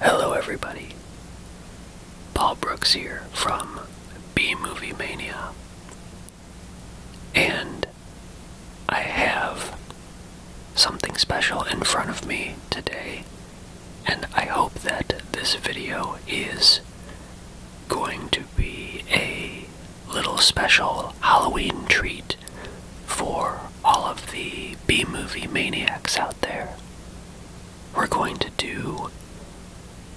Hello, everybody. Paul Brooks here from B Movie Mania. And I have something special in front of me today, and I hope that this video is going to be a little special Halloween treat for all of the B movie maniacs out there. We're going to do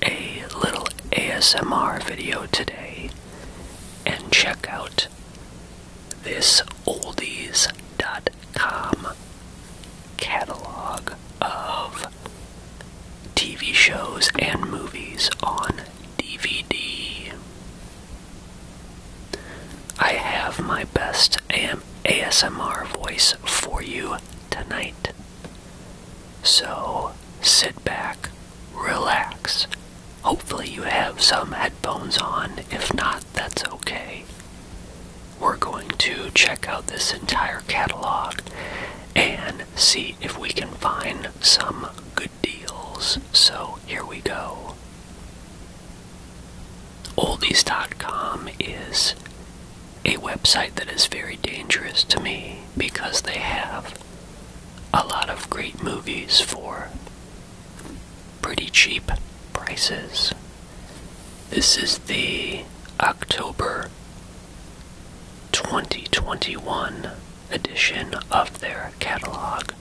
a little ASMR video today and check out this oldies.com catalog of TV shows and movies on DVD. I have my best AM ASMR voice for you tonight. So sit back, relax. Hopefully, you have some headphones on. If not, that's okay. We're going to check out this entire catalog and see if we can find some good deals. So, here we go. Oldies.com is a website that is very dangerous to me because they have a lot of great movies for pretty cheap prices. This is the October 2021 edition of their catalog.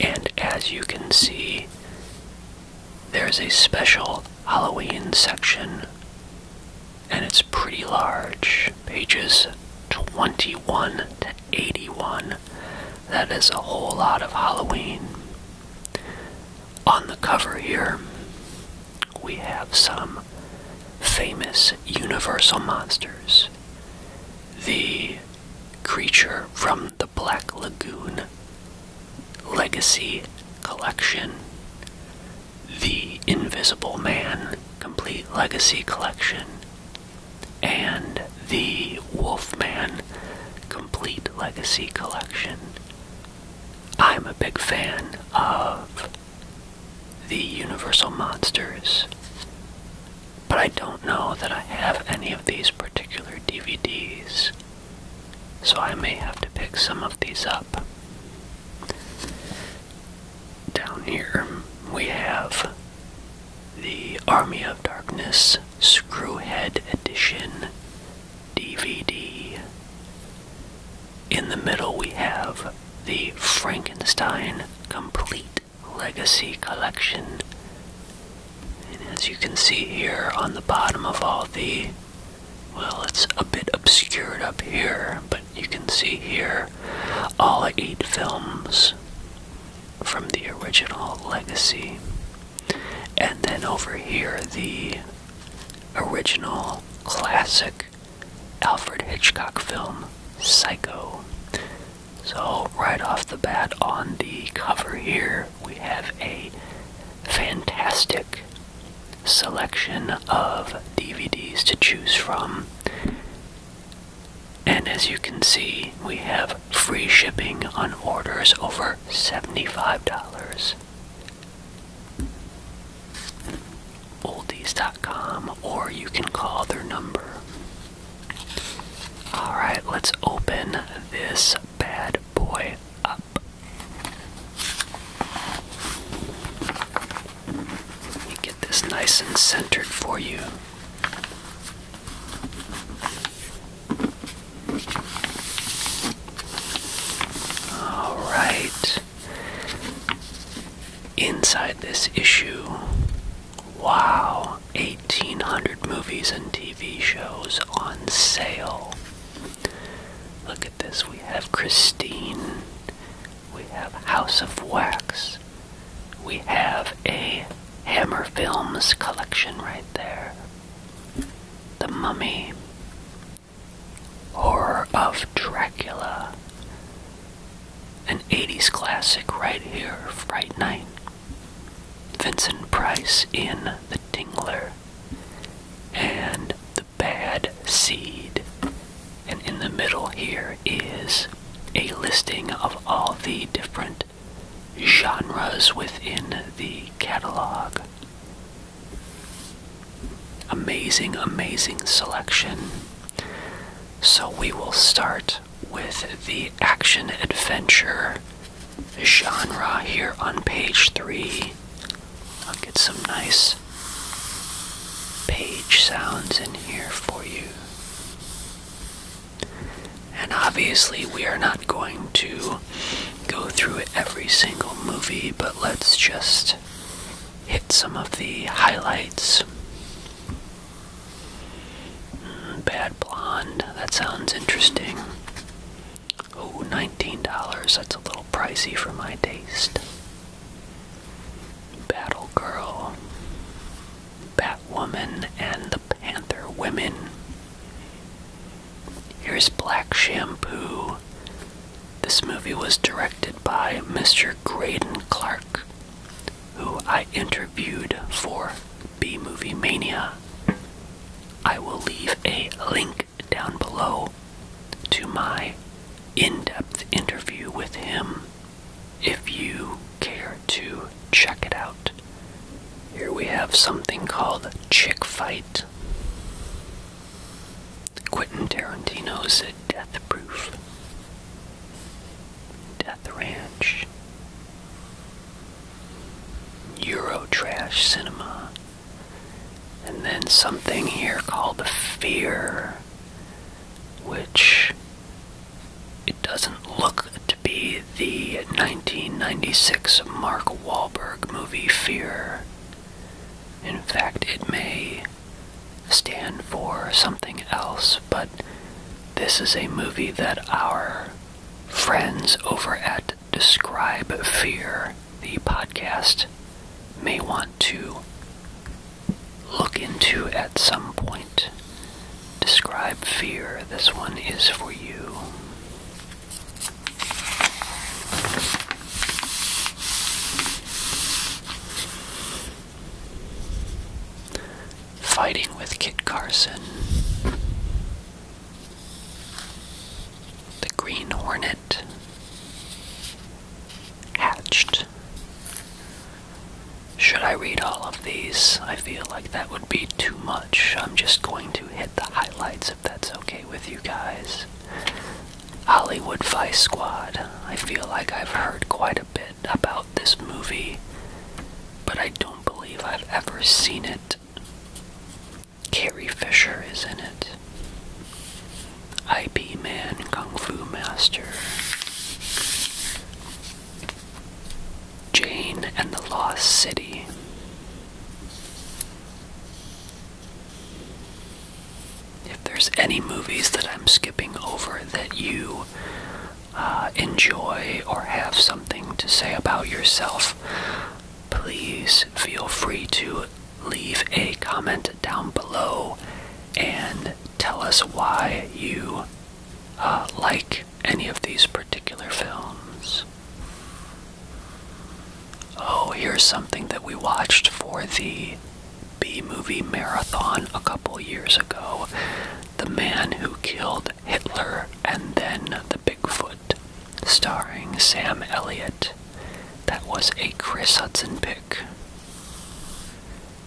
And as you can see, there's a special Halloween section, and it's pretty large pages 21 to 81. That is a whole lot of Halloween. On the cover here, we have some famous universal monsters. The creature from the Black Lagoon Legacy Collection, The Invisible Man Complete Legacy Collection, and The Wolfman Complete Legacy Collection. I'm a big fan of the Universal Monsters but I don't know that I have any of these particular DVDs, so I may have to pick some of these up. Down here we have the Army of Darkness Screwhead Edition DVD. In the middle we have the Frankenstein Complete Legacy Collection. And as you can see here on the bottom of all the, well, it's a bit obscured up here, but you can see here all eight films from the original Legacy. And then over here, the original classic Alfred Hitchcock film, Psycho. So, right off the bat on the cover here, we have a fantastic selection of DVDs to choose from. And as you can see, we have free shipping on orders over $75. Oldies.com, or you can call their number Alright, let's open this bad boy up. Let me get this nice and centered for you. Alright. Inside this issue, Wow, 1800 movies and TV shows on sale. Look at this. We have Christine. We have House of Wax. We have a Hammer Films collection right there. The Mummy. Horror of Dracula. An 80s classic right here, Fright Night. Vincent Price in The Tingler, and The Bad Seed. And in the middle here is a listing of all the different genres within the catalog. Amazing, amazing selection. So we will start with the action adventure genre here on page three. I'll get some nice page sounds in here for you. And obviously, we are not going to go through every single movie, but let's just hit some of the highlights. Bad Blonde, that sounds interesting. Oh, $19, that's a little pricey for my taste. Battle Girl, Batwoman, and the Panther Women. Here's Black Shampoo. This movie was directed by Mr. Graydon Clark, who I interviewed for B Movie Mania. I will leave a link down below to my in depth interview with him if you care to check it out. Here we have something called Chick Fight. Quentin Tarantino's Death Proof. Death Ranch. Eurotrash cinema. And then something here called The Fear, which it doesn't look to be the 1996 Mark Wahlberg movie Fear. In fact, it may stand for something else, but this is a movie that our friends over at Describe Fear, the podcast, may want to look into at some point. Describe Fear, this one is for you fighting with Kit Carson. The Green Hornet hatched. Should I read all of these? I feel like that would be too much. I'm just going to hit the highlights if that's okay with you guys. Hollywood Vice Squad. I feel like I've heard quite a bit about this movie, but I don't do believe I've ever seen it. Carrie Fisher is in it. IB Man, Kung Fu Master. Jane and the Lost City. If there's any movies that I'm skipping over that you uh, enjoy or have something to say about yourself, please feel free to leave a comment down below and tell us why you uh, like any of these particular films. Oh, here's something that we watched for the B movie marathon a couple years ago. The Man Who Killed Hitler and Then the Bigfoot, starring Sam Elliott. That was a Chris Hudson pick.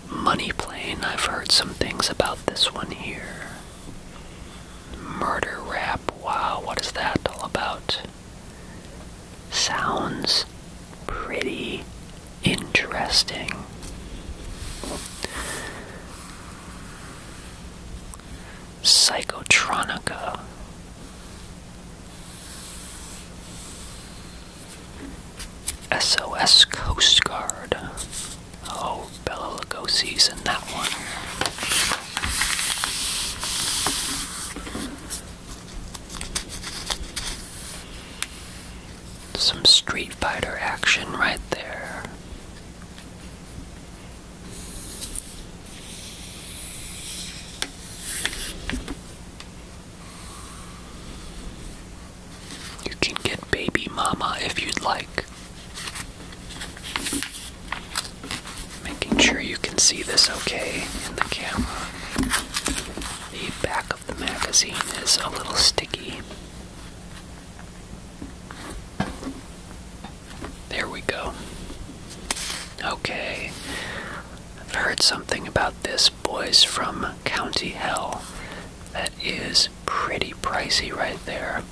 Money Plane, I've heard some things about this one here. Murder Rap, wow, what is that all about? Sounds pretty interesting. Psychotronica. SOS Coast Guard. Oh, Bella Lugosi's in that one. Some Street Fighter action right there. You can get baby mama if you'd like. Making sure you can see this okay in the camera. The back of the magazine is a little sticky. There we go. Okay. I've heard something about this, boys, from County Hell. That is pretty pricey right there.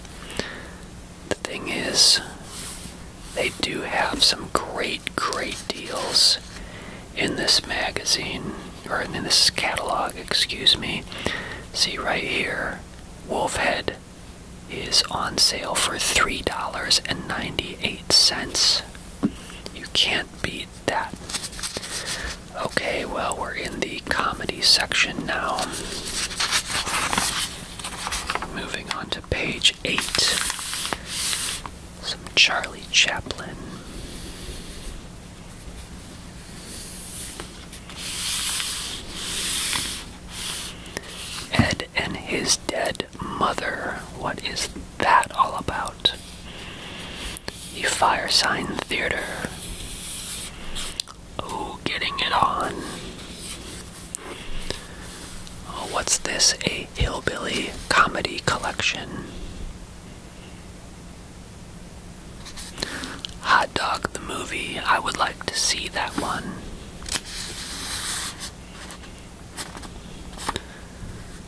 The thing is, they do have some great, great deals in this magazine, or in this catalog, excuse me. See right here, Wolf Head is on sale for $3.98. You can't beat that. Okay, well, we're in the comedy section now. Moving on to page 8. Some Charlie Chaplin. Ed and his dead mother. What is that all about? The fire sign theater. Oh, getting it on. Oh, what's this? A hillbilly comedy collection. Hot Dog the movie, I would like to see that one.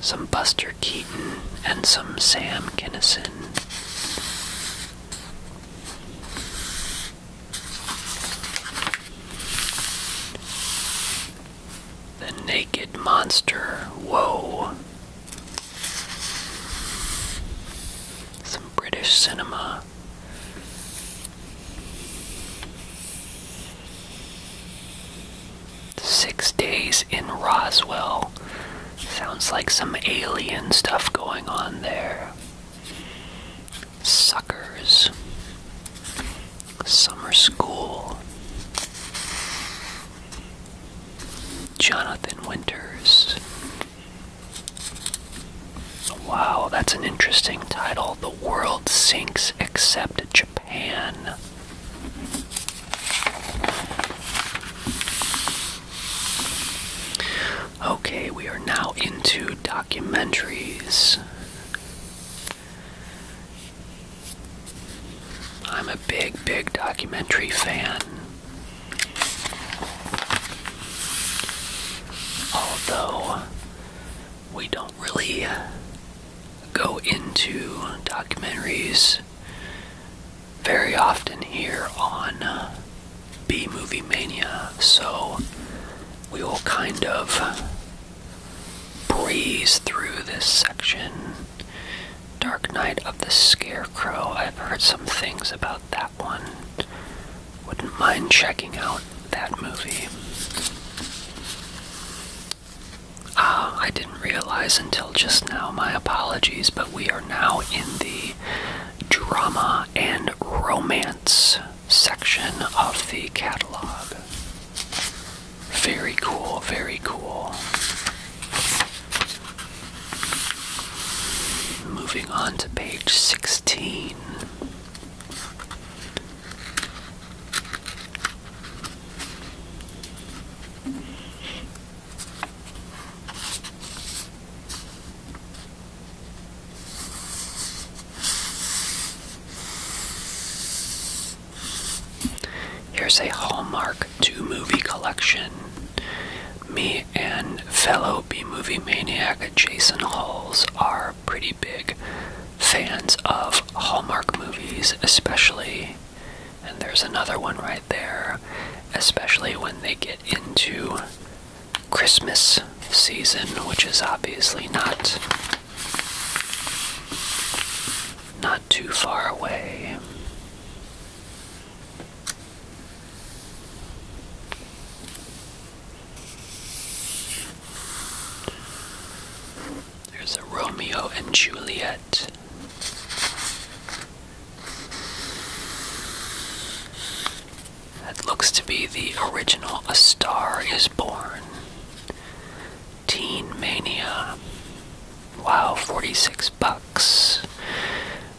Some Buster Keaton and some Sam Kinison. The Naked Monster, whoa. Some British cinema. Six days in Roswell. Sounds like some alien stuff going on there. Suckers. Summer school. Jonathan Winters. Wow, that's an interesting title. The world sinks except Japan. Okay, we are now into documentaries. I'm a big, big documentary fan. Although we don't really go into documentaries very often here on uh, B Movie Mania, so we will kind of breeze through this section. Dark Night of the Scarecrow. I've heard some things about that one. Wouldn't mind checking out that movie. Ah, I didn't realize until just now, my apologies, but we are now in the drama and romance section of the catalog. Very cool, very cool. Moving on to page 16. Here's a Hallmark 2 movie collection me and fellow B movie maniac Jason Halls are pretty big fans of Hallmark movies, especially, and there's another one right there, especially when they get into Christmas season, which is obviously not. Not too far away. There's a Romeo and Juliet. That looks to be the original A Star is Born. Teen Mania. Wow, 46 bucks.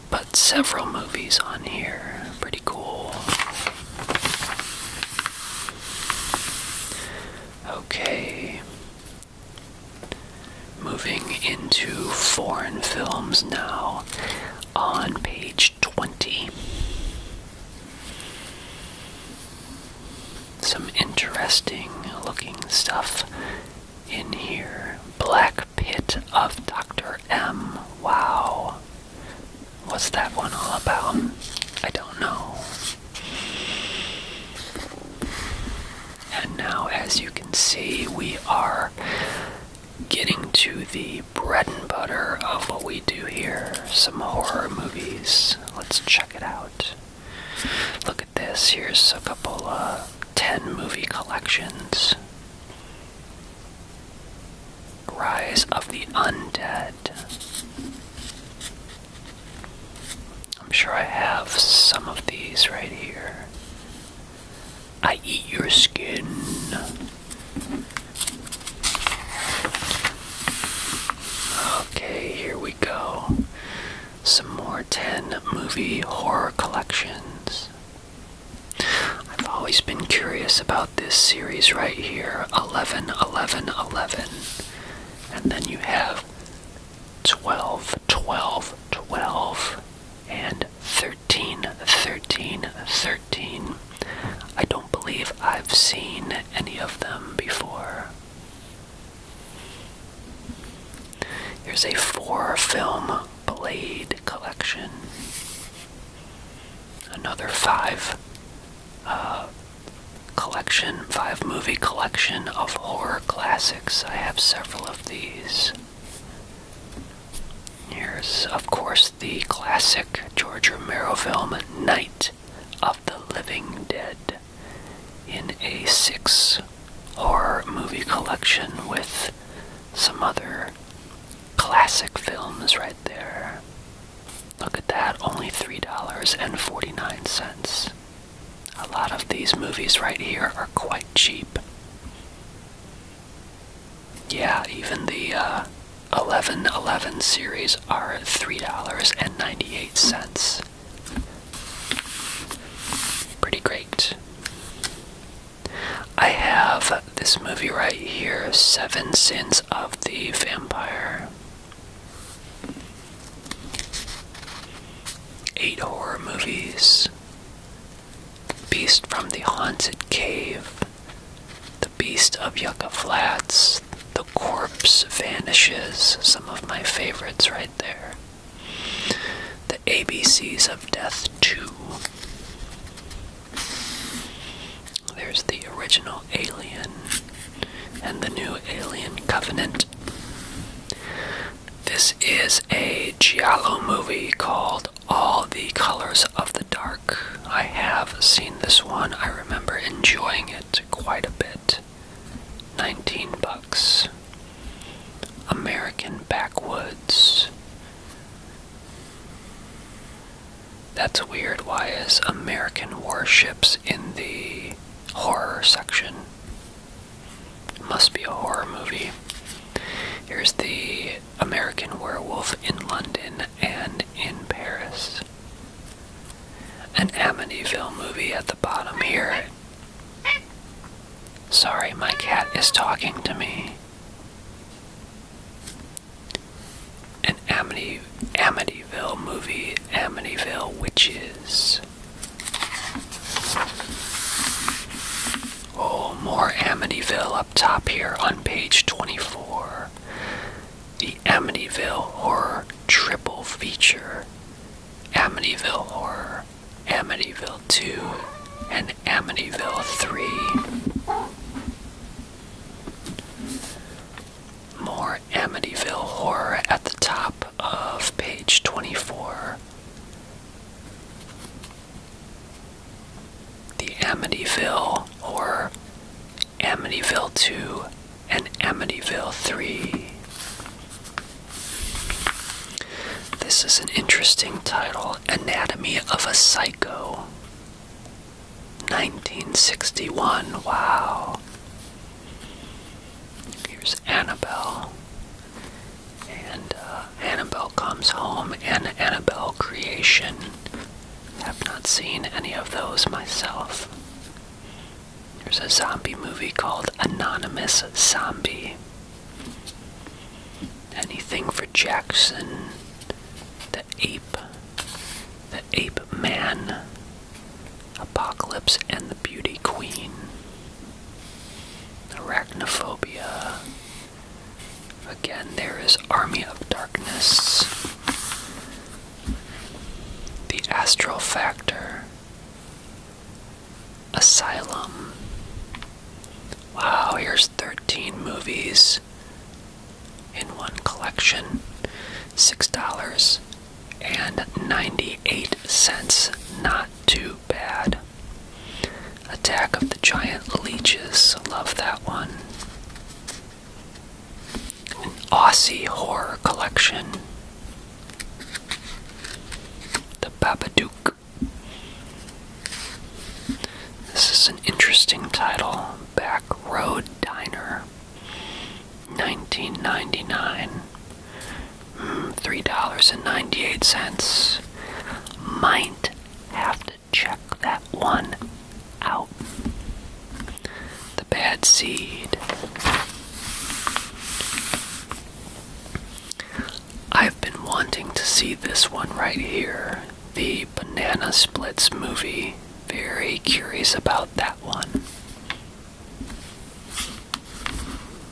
But several movies on here. Pretty cool. Okay. Moving into foreign films now on page 20. Some interesting looking stuff in here. Black Pit of Dr. M. Wow. What's that one all about? I don't know. And now, as you can see, we are getting to the bread and butter of what we do here some horror movies. Let's check it out. Look at this. Here's a couple of uh, 10 movie collections. Rise of the Undead. I'm sure I have some of these right here. I eat your skin. Okay, here we go. Some more 10 movie horror collections. I've always been curious about this series right here 11, 11, 11. And then you have 12, 12, 12, and 13, 13, 13. I don't believe I've seen any of them before. Here's a four-film Blade collection. Another five uh, collection, five movie collection of horror classics. I have several of these. Here's, of course, the classic George Romero film Night of the Living Dead in a six horror movie collection with some other classic films right there. Look at that, only $3.49. A lot of these movies right here are quite cheap. Yeah, even the uh, 1111 series are $3.98. Pretty great. I have this movie right here Seven Sins of the Vampire. Eight horror movies Beast from the Haunted Cave, The Beast of Yucca Flats, The Corpse Vanishes, some of my favorites right there. The ABCs of Death 2. There's the original Alien and the new Alien Covenant. This is a Giallo movie called All the Colors of the Dark. I have seen this one. I remember enjoying it quite a bit. 19 bucks. American backwoods. That's weird. Why is American warships in the horror section? Must be a horror movie. Here's the American werewolf in London and in Paris. An Amityville movie at the bottom here. Sorry, my cat is talking to me. An Amity, Amityville movie, Amityville Witches. Oh, more Amityville up top here on page 24. The Amityville Horror Triple Feature. Amityville Horror. Amityville 2 and Amityville 3. More Amityville horror at the top of page 24. The Amityville or Amityville 2 and Amityville 3. This is an interesting title Anatomy of a Psycho. 1961. Wow. Here's Annabelle. And uh, Annabelle comes home and Annabelle Creation. Have not seen any of those myself. There's a zombie movie called Anonymous Zombie. Anything for Jackson? The Ape, The Ape Man, Apocalypse and the Beauty Queen, Arachnophobia. Again, there is Army of Darkness, The Astral Factor, Asylum. Wow, here's 13 movies in one collection. $6.98. Not too bad. Attack of the Giant Leeches. Love that one. An Aussie Horror Collection. The Babadook. This is an interesting title Back Road Diner, 1999. Hmm, $3.98. Might have to check that one out. The Bad Seed. I've been wanting to see this one right here, the Banana Splits movie. Very curious about that one.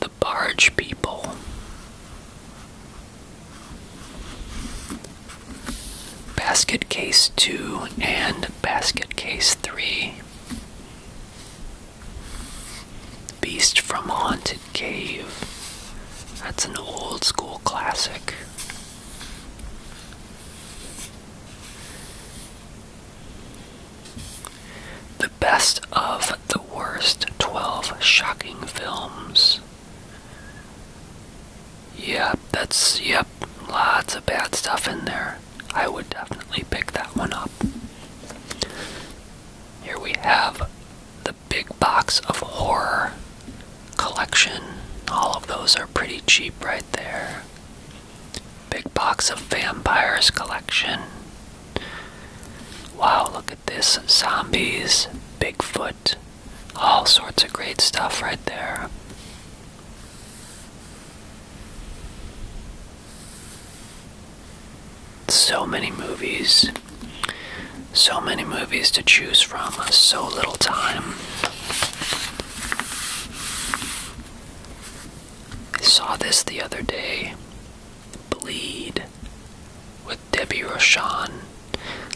The Barge People. Basket Case 2 and Basket Case 3. Beast from Haunted Cave. That's an old school classic. The best of the worst 12 shocking films. Yep, that's, yep, lots of bad stuff in there. I would definitely pick that one up. Here we have the big box of horror collection. All of those are pretty cheap right there. Big box of vampires collection. Wow, look at this. Zombies, Bigfoot, all sorts of great stuff right there. So many movies. So many movies to choose from. So little time. I saw this the other day. Bleed with Debbie Roshan.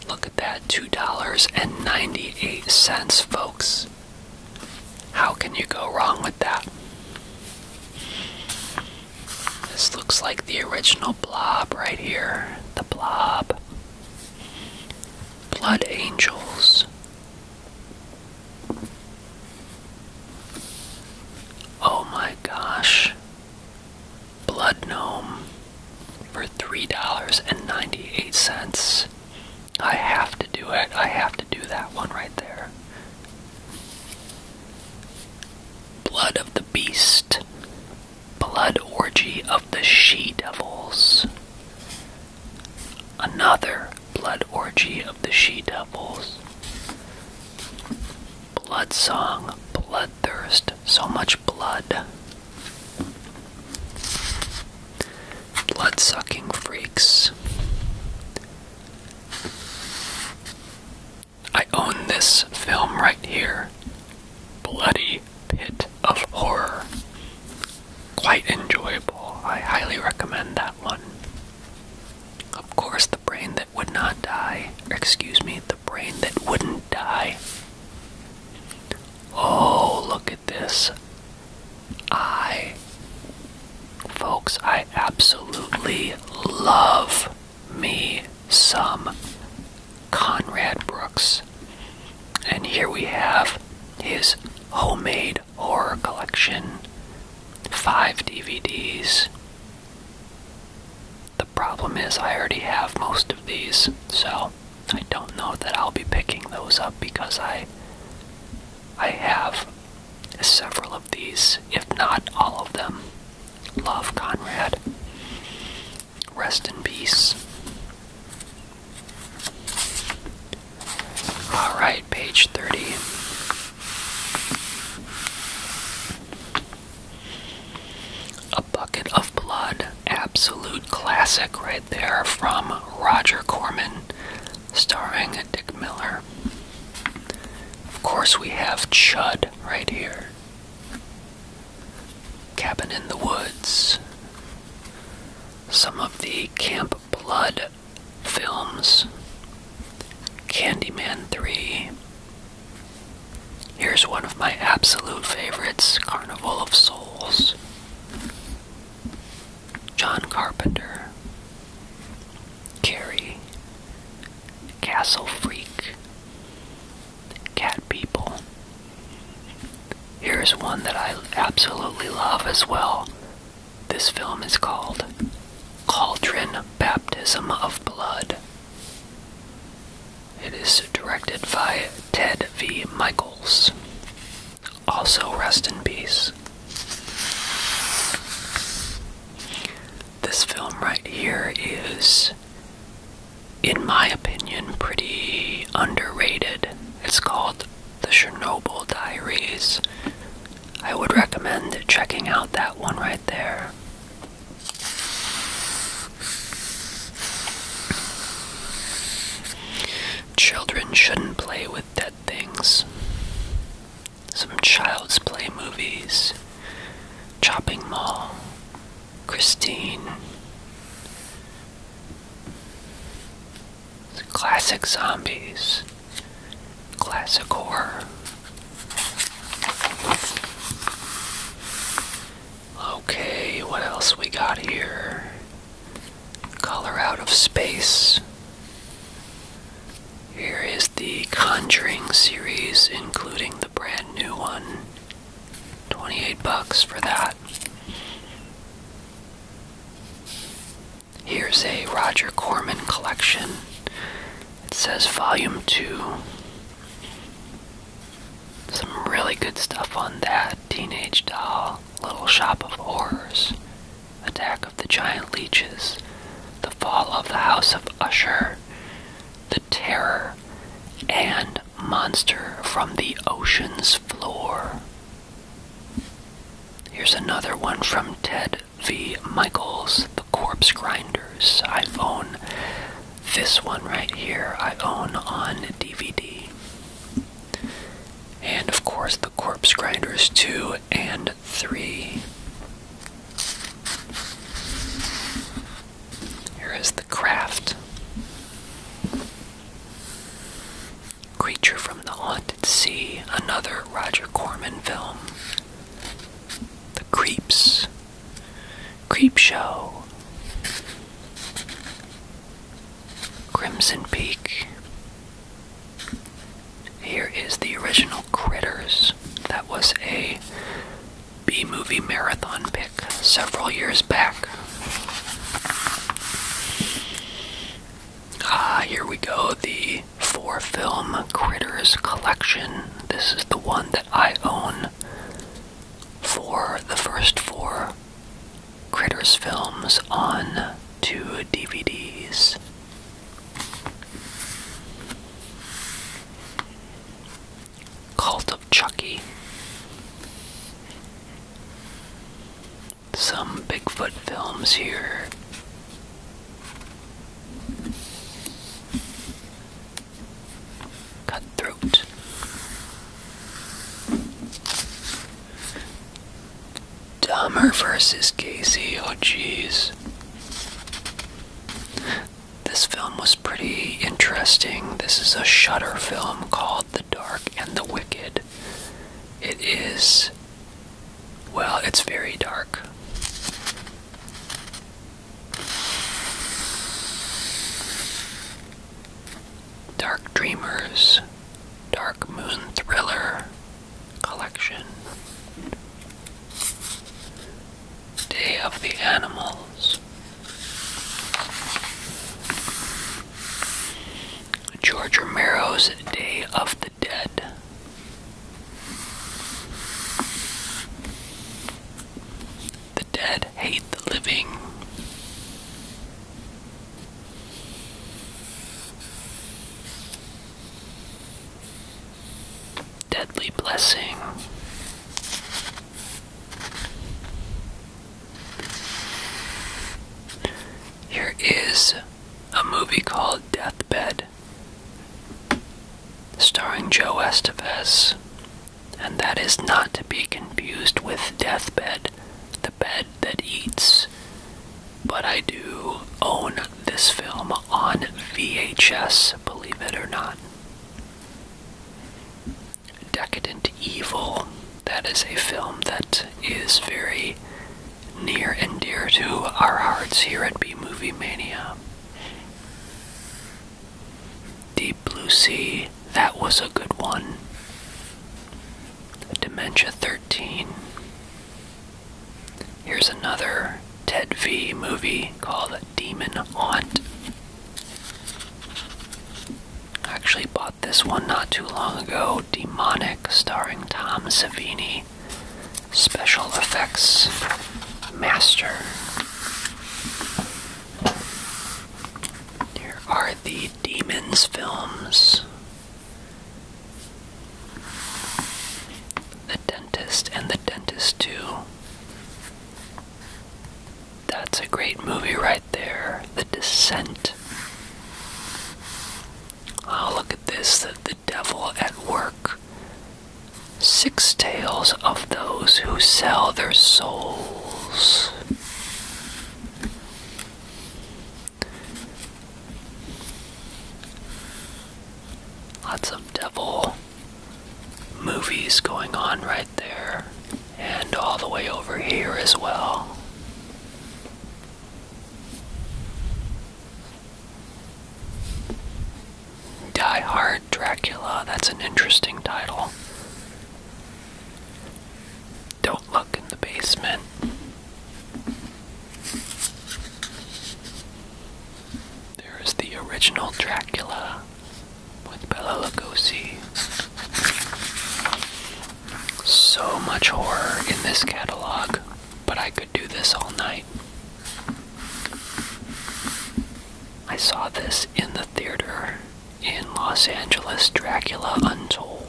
Look at that. $2.98, folks. How can you go wrong with that? This looks like the original blob right here. The blob. Blood Angels. Oh my gosh. Blood Gnome for $3.98. I have to do it. I have to do that one right there. Blood of the Beast, Blood Orgy of the She Devils, another Blood Orgy of the She Devils, Blood Song, blood thirst, so much blood. Blood Sucking Freaks. I own this film right here. Bloody Pit of Horror. Quite enjoyable. I highly recommend that one. Of course, The Brain That Would Not Die. excuse me, The Brain That Wouldn't Die. Oh, look at this. I. Folks, I absolutely love me some Conrad Brooks. And here we have his homemade horror collection. Five DVDs. The problem is, I already have most of these, so I don't know that I'll be picking those up because I. I have several of these, if not all of them. Love, Conrad. Rest in peace. Alright, page 30. A Bucket of Blood. Absolute classic right there from Roger Corman, starring Dick Miller. Of course, we have Chud right here. Cabin in the Woods, some of the Camp Blood films, Candyman 3. Here's one of my absolute favorites Carnival of Souls. John Carpenter, Carrie, Castle Freak, Cat People. Here's one that I absolutely love as well. This film is called Cauldron Baptism of Blood. It is directed by Ted V. Michaels. Also, rest in peace this film right here is, in my opinion, pretty underrated. It's called The Chernobyl Diaries. I would recommend checking out that one right there. Children shouldn't play with dead things some Child's Play movies, Chopping Mall, Christine. Classic zombies, classic horror. Okay, what else we got here? Color out of space. Here is the Conjuring series, including the brand new one. 28 bucks for that. Here's a Roger Corman collection. It says Volume 2. Some really good stuff on that. Teenage Doll, Little Shop of Horrors, Attack of the Giant Leeches, The Fall of the House of Usher, the terror and monster from the ocean's floor. Here's another one from Ted V. Michaels, The Corpse Grinders. I own this one right here, I own on DVD. And of course, The Corpse Grinders 2 and three. Here is the craft. Creature from the Haunted Sea, another Roger Corman film. The Creeps. Creep Show. Crimson Peak. Here is the original Critters. That was a B movie marathon pick several years back. Ah, here we go. The four film Critters collection. This is the one that I own for the first four Critters films on two DVDs. Cult of Chucky. Some Bigfoot films here. Cutthroat. Dumber versus Casey, oh jeez. This film was pretty interesting. This is a shutter film called The Dark and the Wicked. It is, well, it's very dark. Dark Dreamers, Dark Moon Thriller Collection. Day of the Animals. George Romero's Day of the Dead. The Dead Hate the Living deadly blessing. Here is a movie called Deathbed, starring Joe Estevez, and that is not to be confused with Deathbed, the bed that eats. But I do own this film on VHS, believe it or not. Decadent Evil, that is a film that is very near and dear to our hearts here at B Movie Mania. Deep Blue Sea, that was a good one. Dementia 13. Here's another Ted V movie called Demon Haunt. actually bought this one not too long ago Demonic, starring Tom Savini, special effects master. Here are the Demons films the dentist and the dentist too. that's a great movie right there the descent oh look at this the, the devil at work six tales of those who sell their souls Lots of devil movies going on right there, and all the way over here as well. Die Hard Dracula, that's an interesting title. Don't look in the basement. There is the original Dracula with Bela Lugosi. So much horror in this catalog, but I could do this all night. I saw this in the theater in Los Angeles Dracula Untold.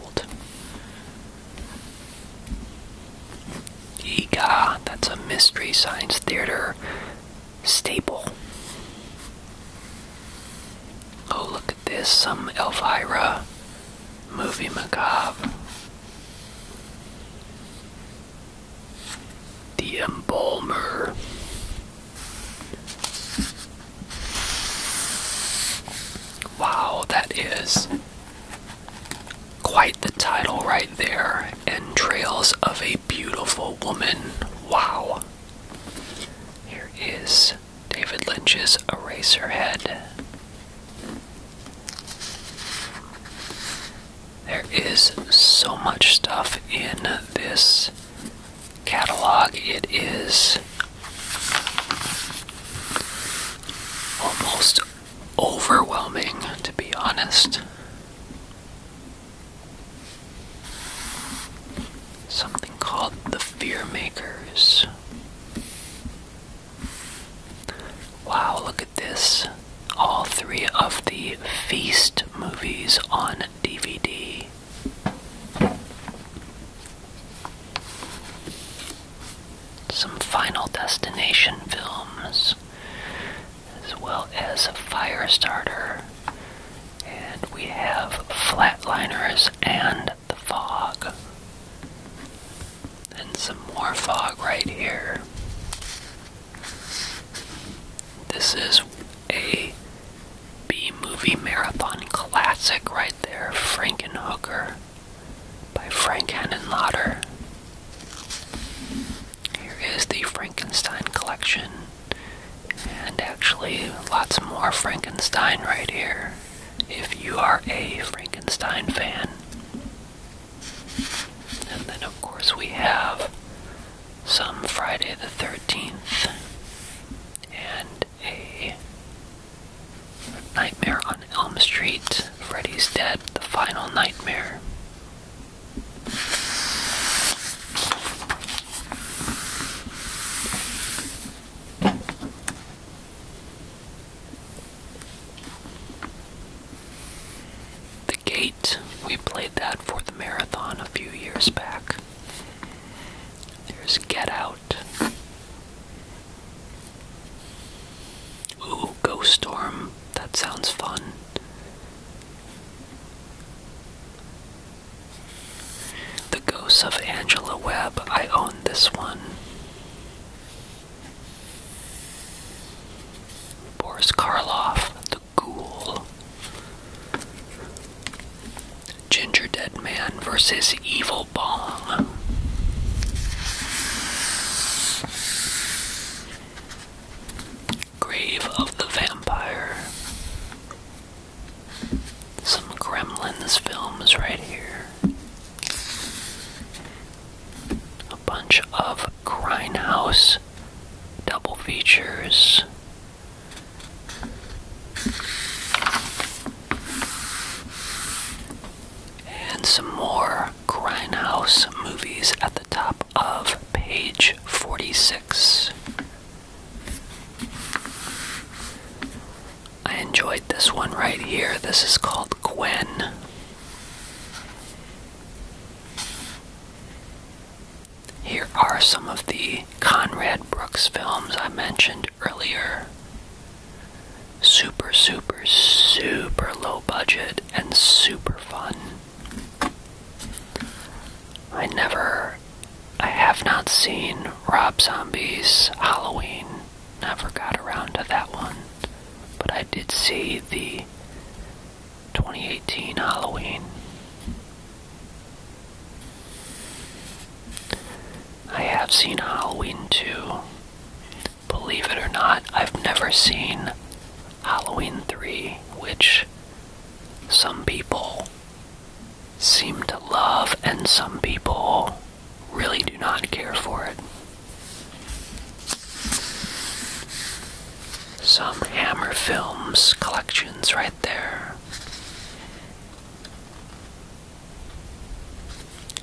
Ega, that's a mystery science theater staple. Oh, look at this, some Elvira movie macabre. The Embalmer. Wow, that is Quite the title right there. Entrails of a Beautiful Woman. Wow. Here is David Lynch's eraser head. There is so much stuff in this catalog. It is almost overwhelming, to be honest. Something called the Fear Makers. Wow, look at this. All three of the Feast movies on DVD. Some Final Destination films as well as a fire starter. And we have flatliners and the fog. And some more fog right here. This is a B movie marathon classic right there, Frankenhooker by Frank Henenlotter. Here is the Frankenstein collection, and actually, lots more Frankenstein right here if you are a Frankenstein fan. And then, of course, we have some Friday the 13th and a Nightmare on Elm Street, Freddy's Dead, The Final Nightmare. The Gate, we played that for the marathon a few years back. There's Get Out. Ooh, Ghost Storm. That sounds fun. The Ghosts of Angela Webb. I own this one. Boris Karloff, The Ghoul. Ginger Dead versus Evil Bong. Grave of the Vampire. Some Gremlins films right here. A bunch of Grindhouse double features. And some more Grindhouse movies at the top of page 46. I enjoyed this one right here. This is called Gwen. Here are some of the Conrad Brooks films I mentioned earlier. Super, super, super low budget and super fun. I never. I have not seen Rob Zombie's Halloween. Never got around to that one. But I did see the 2018 Halloween. I have seen Halloween too believe it or not, I've never seen Halloween 3, which some people seem to love and some people really do not care for it. Some Hammer Films collections right there.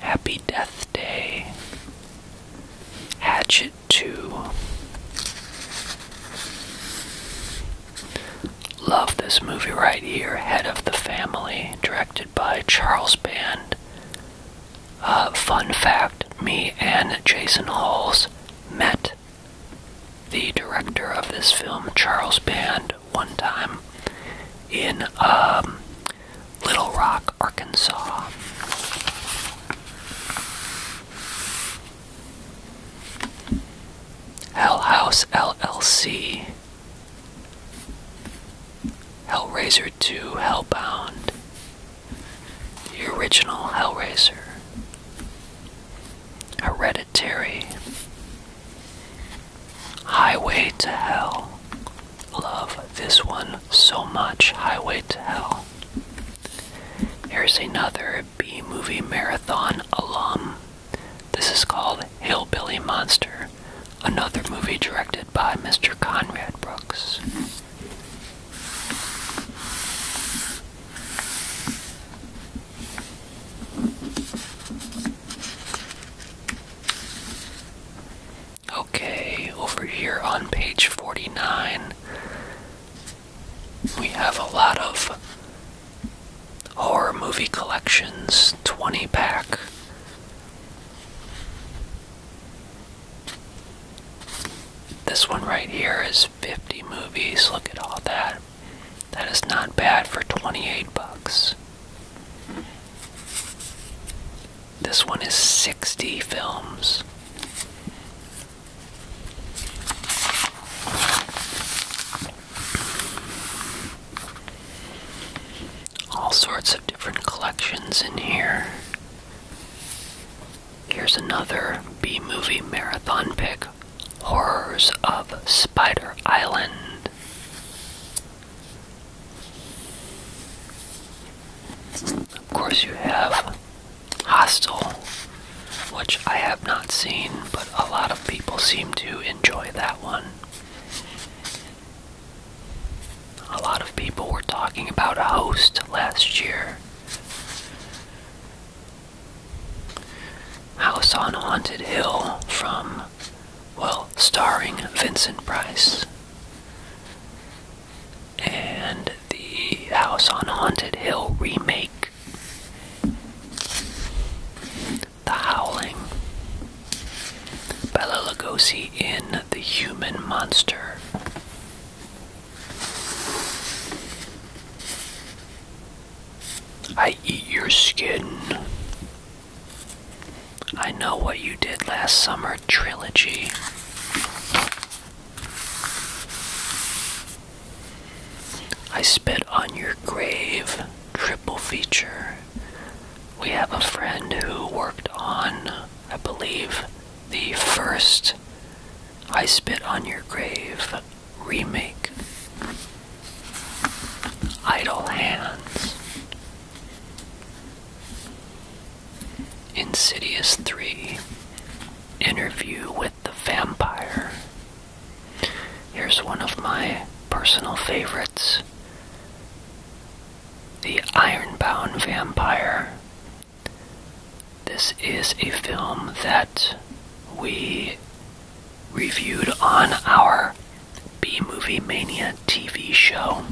Happy Death Day. Hatchet to Love this movie right here, Head of the Family, directed by Charles Band. Uh, fun fact me and Jason Halls met the director of this film, Charles Band, one time in um, Little Rock, Arkansas. Hell House LLC. Hellraiser 2 Hellbound. The original Hellraiser. Hereditary. Highway to Hell. Love this one so much. Highway to Hell well. Here's another B movie marathon alum. This is called Hillbilly Monster, another movie directed by Mr. Conrad Brooks. Okay, over here on page 49, we have a lot of horror movie collections 20 pack. This one right here is 50 movies. Look at all that. That is not bad for 28 bucks. This one is 60 films. All sorts of different collections in here. Here's another B movie marathon pick Horrors of Spider Island. Of course, you have Hostel, which I have not seen, but a lot of people seem to enjoy that one. A lot of people were talking about a host last year. House on Haunted Hill from, well, starring Vincent Price and the House on Haunted Hill remake, The Howling, Bella Lugosi in The Human Monster. I eat your skin. I know what you did last summer trilogy. I Spit on Your Grave triple feature. We have a friend who worked on, I believe, the first I Spit on Your Grave remake. Idle Hands. Insidious 3 Interview with the Vampire. Here's one of my personal favorites The Ironbound Vampire. This is a film that we reviewed on our B Movie Mania TV show.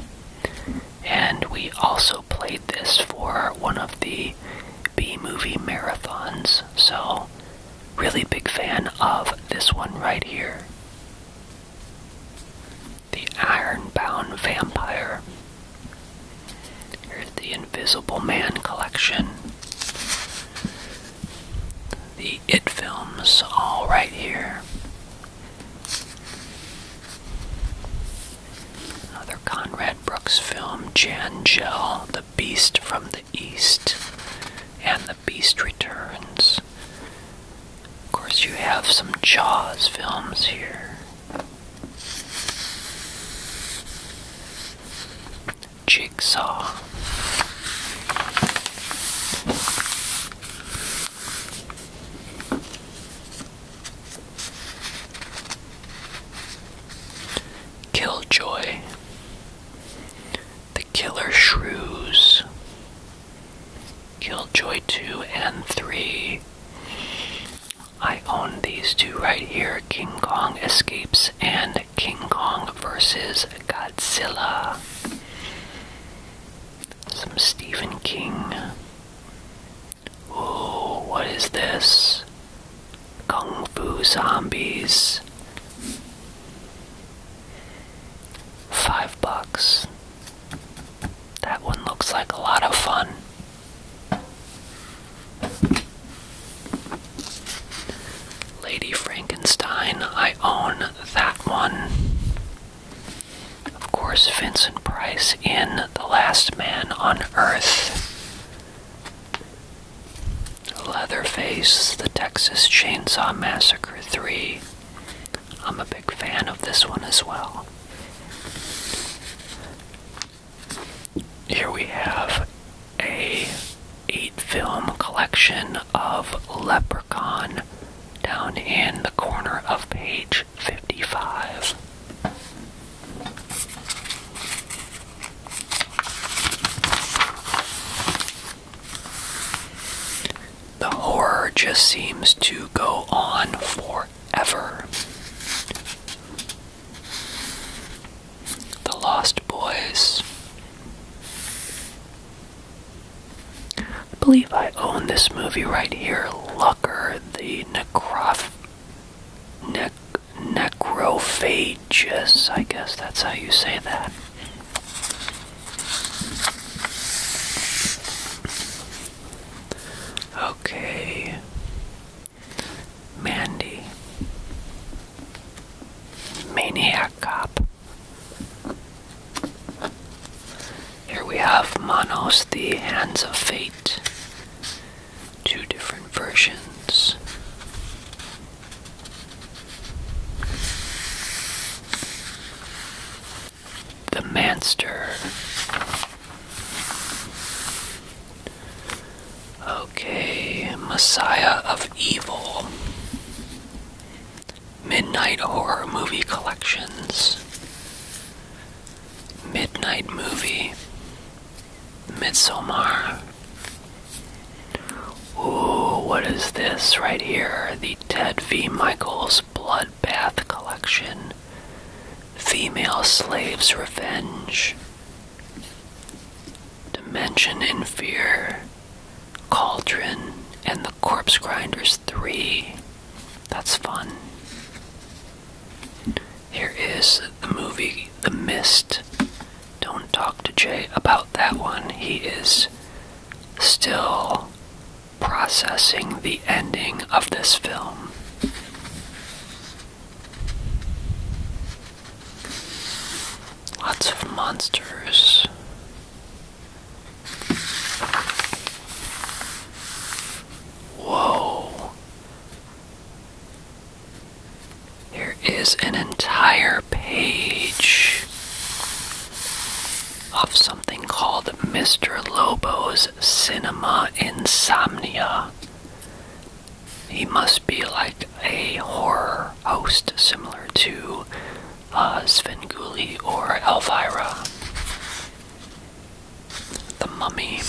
And we also played this for one of the B movie marathons, so really big fan of this one right here. The Ironbound Vampire. Here's the Invisible Man collection. The It films, all right here. Another Conrad Brooks film, Jan Gell, The Beast from the East, and The Beast Returns. Of course, you have some Jaws films here. Jigsaw. Killjoy, The Killer Shrews, Killjoy 2 and 3. I own these two right here King Kong Escapes and King Kong vs. Godzilla. Some Stephen King. Ooh, what is this? Kung Fu Zombies. Five bucks. That one looks like a lot of fun. Lady Frankenstein, I own that one. Of course, Vincent Price in The Last Man on Earth. Leatherface, The Texas Chainsaw Massacre 3. I'm a big fan of this one as well. Here we have a eight film collection of Leprechaun down in the corner of page 55. The horror just seems to go on forever. The Lost Boys. I believe I own this movie right here, Lucker the necroph ne necrophagus. I guess that's how you say that. Okay, Mandy, Maniac Cop. Here we have Manos, the Hands of Fate. Two different versions. The Manster. Okay, Messiah of Evil. Midnight Horror Movie Collections. Midnight Movie, Midsommar. Ooh, what is this right here? The Ted V. Michaels Bloodbath Collection. Female Slaves Revenge. Dimension in Fear. Cauldron and the Corpse Grinders three. That's fun. Here is the movie The Mist. Don't talk to Jay about that one. He is still processing the ending of this film. Lots of monsters. Whoa. There is an entire page of something called Mr. Lobo's Cinema Insomnia. He must be like a horror host similar to uh, Svengoolie or Elvira. The Mummy.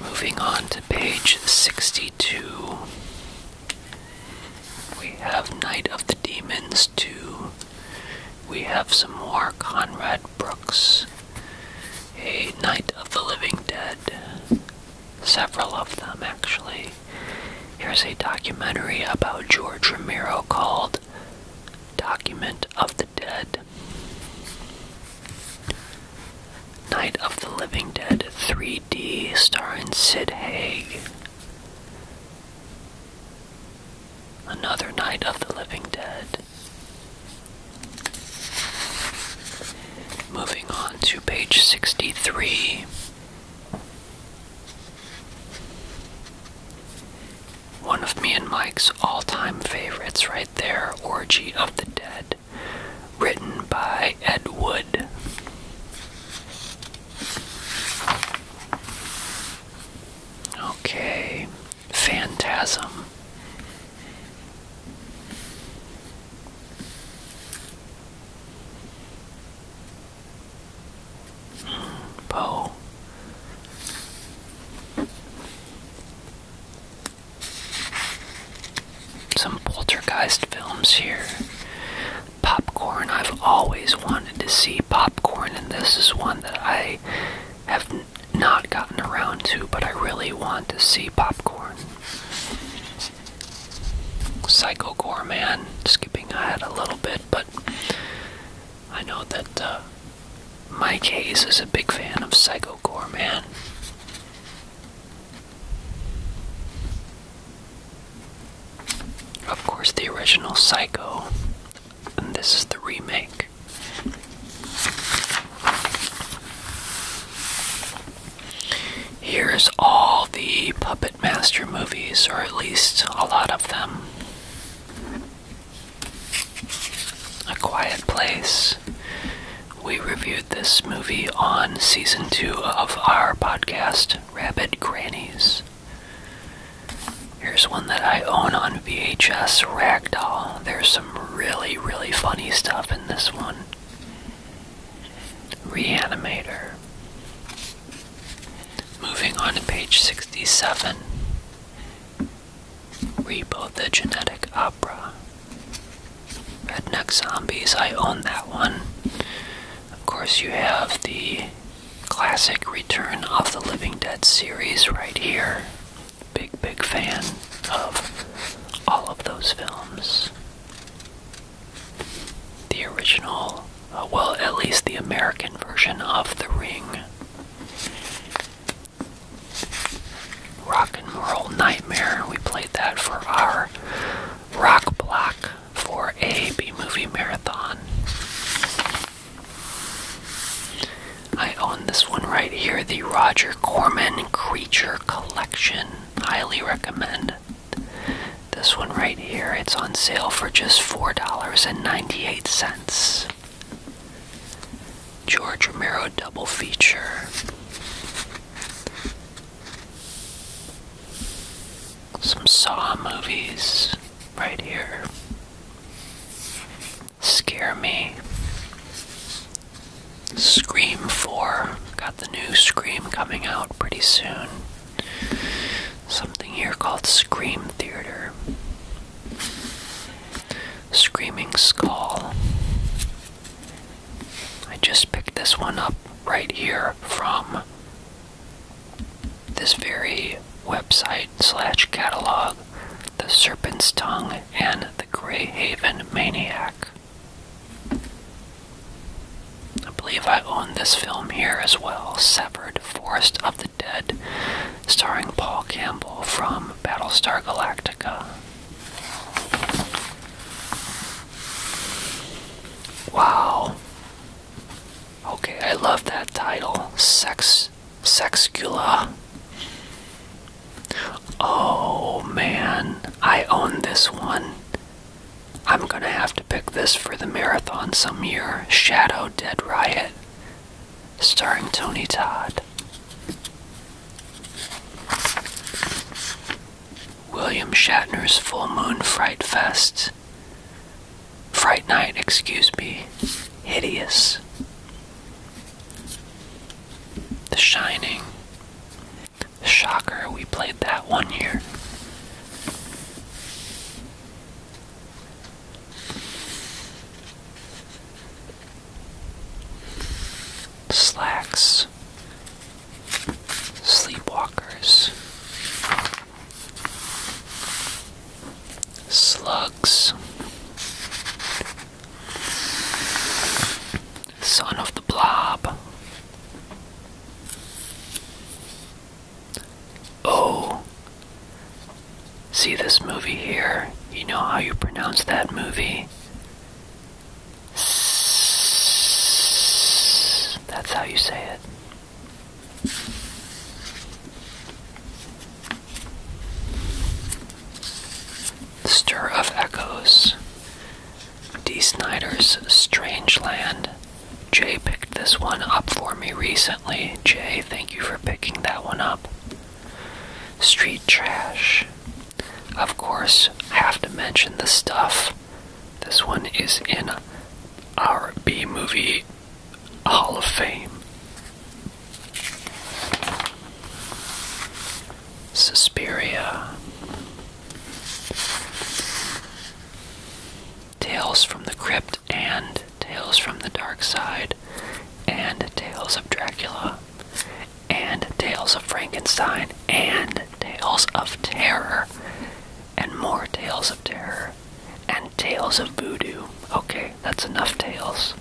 Moving on to page 62, we have Night of the Demons 2. We have some more Conrad Brooks, a Night of the Living Dead. Several of them, actually. Here's a documentary about George Romero called Document of the Dead. Night of the Living Dead 3D, starring Sid Haig. Another Night of the Living Dead. Moving on to page 63. One of me and Mike's all time favorites, right there Orgy of the Dead, written by Ed Wood. Okay, Phantasm. Bow. Some poltergeist films here. Popcorn. I've always wanted to see popcorn, and this is one that I have not gotten around to, but I really want to see popcorn. Psycho Gore Man, skipping ahead a little bit, but I know that uh, Mike Hayes is a big fan of Psycho Gore Man. Of course, the original Psycho, and this is the remake. Here's all the Puppet Master movies, or at least a lot of them. A Quiet Place. We reviewed this movie on season two of our podcast, Rabbit Grannies. Here's one that I own on VHS Ragdoll. There's some really, really funny stuff in this one. Reanimator. Moving on to page 67. Rebo the Genetic Opera. Redneck Zombies, I own that one. Of course, you have the classic Return of the Living Dead series right here big, big fan of all of those films. The original, uh, well, at least the American version of The Ring. Rock and Roll Nightmare, we played that for our rock block for a B movie marathon. I own this one right here, the Roger Corman Feature collection. Highly recommend this one right here. It's on sale for just $4.98. George Romero double feature. Some Saw movies right here. Scare Me. Scream 4. Got the new Scream coming out pretty soon. Something here called Scream Theater. Screaming Skull. I just picked this one up right here from this very website slash catalog The Serpent's Tongue and the Grey Haven Maniac. I believe I own this film here as well Severed Forest of the Dead, starring Paul Campbell from Battlestar Galactica. Wow. Okay, I love that title. Sex Sexcula. Oh man, I own this one. I'm gonna have to pick this for the marathon some year. Shadow Dead Riot, starring Tony Todd. William Shatner's Full Moon Fright Fest. Fright Night, excuse me. Hideous. The Shining. Shocker, we played that one year. Slacks, Sleepwalkers, Slugs, Son of the Blob. Oh. See this movie here? You know how you pronounce that movie? That's how you say it. Stir of Echoes, D. Snyder's Strange Land. Jay picked this one up for me recently. Jay, thank you for picking that one up. Street Trash. Of course, I have to mention the stuff. This one is in our B Movie Hall of Fame. Suspiria. Tales from the Crypt and Tales from the Dark Side and Tales of Dracula and Tales of Frankenstein and Tales of Terror and more Tales of Terror and Tales of Voodoo. Okay, that's enough tales.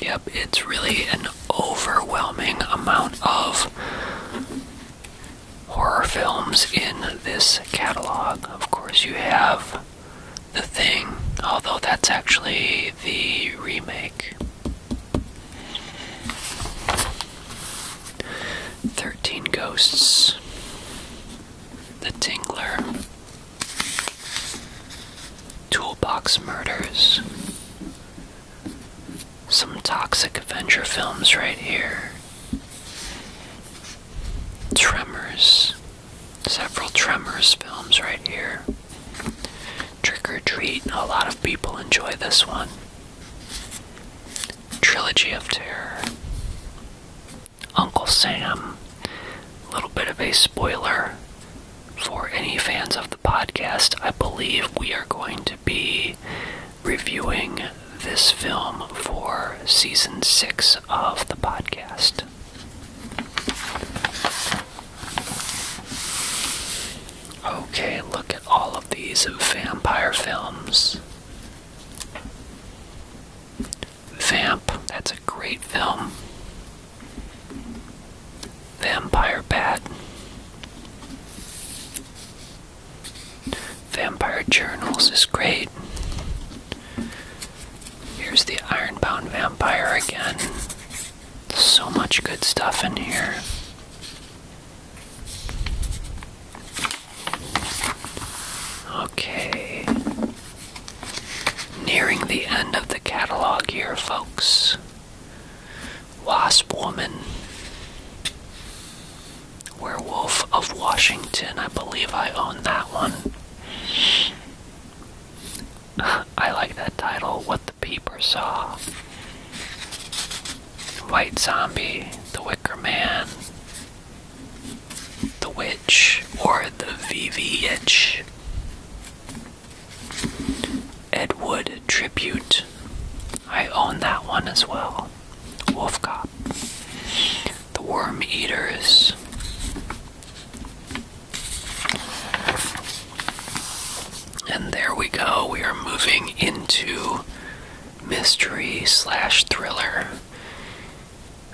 Yep, it's really an overwhelming amount of horror films in this catalog. Of course, you have The Thing, although that's actually the remake. 13 Ghosts. The Tingler, Toolbox Murders, some toxic Avenger films right here. Tremors, several Tremors films right here. Trick or Treat, a lot of people enjoy this one. Trilogy of Terror, Uncle Sam. A little bit of a spoiler for any fans of the podcast. I believe we are going to be reviewing this film for season six of the podcast. Okay, look at all of these vampire films. Vamp, that's a great film. Vampire Bat. Vampire Journals is great. Here's the Ironbound Vampire again. So much good stuff in here. Okay. Nearing the end of the catalog here, folks. Wasp Woman. Werewolf of Washington. I believe I own that one. I like that title, What the Peepers Saw. White Zombie, The Wicker Man, the witch or the VV itch. Ed Wood tribute. I own that one as well. Wolf Cop. The Worm Eaters. And there we go. We are moving into mystery slash thriller.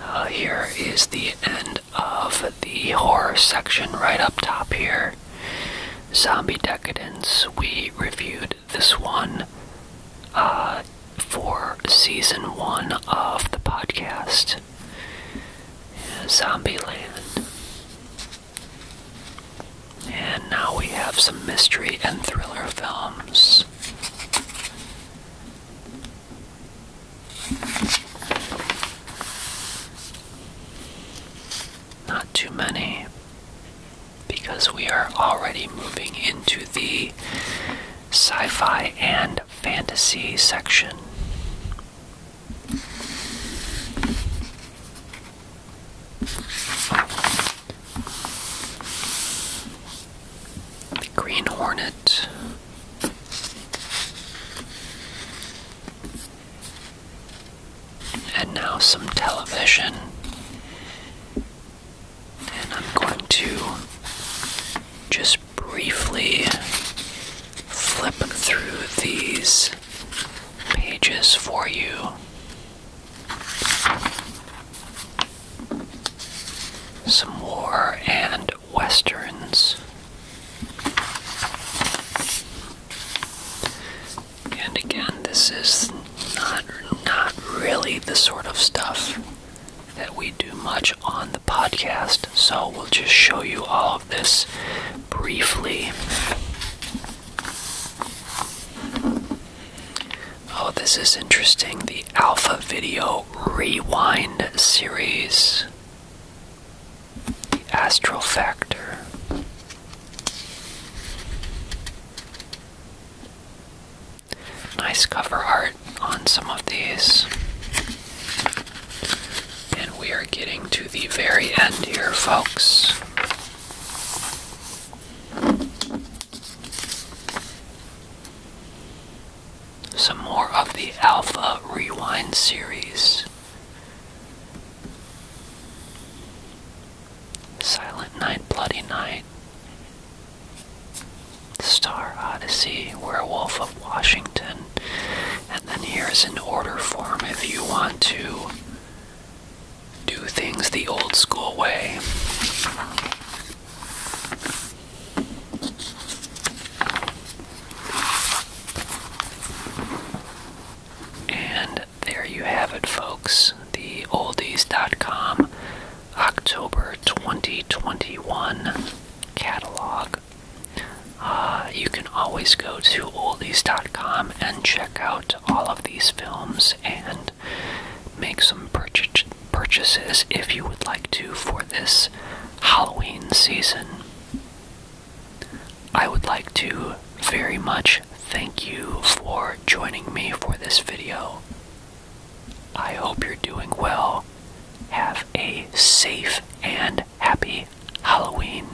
Uh, here is the end of the horror section right up top here. Zombie Decadence. We reviewed this one uh, for season one of the podcast. Zombieland. And now we have some mystery and thriller films. Not too many, because we are already moving into the sci fi and fantasy section. Green Hornet. And now some television. And I'm going to just briefly flip through these pages for you. Some war and westerns. And again, this is not not really the sort of stuff that we do much on the podcast, so we'll just show you all of this briefly. Oh, this is interesting. The Alpha Video Rewind series. The Astral Factor. Nice cover art on some of these. And we are getting to the very end here, folks. Some more of the Alpha Rewind series. Silent Night, Bloody Night. Star Odyssey, Werewolf of Washington. And then here's an order form if you want to do things the old school way. And there you have it, folks. The oldies.com October 2021 catalog. Uh, you can always go to oldies.com and check out all of these films and make some purch purchases if you would like to for this Halloween season. I would like to very much thank you for joining me for this video. I hope you're doing well. Have a safe and happy Halloween.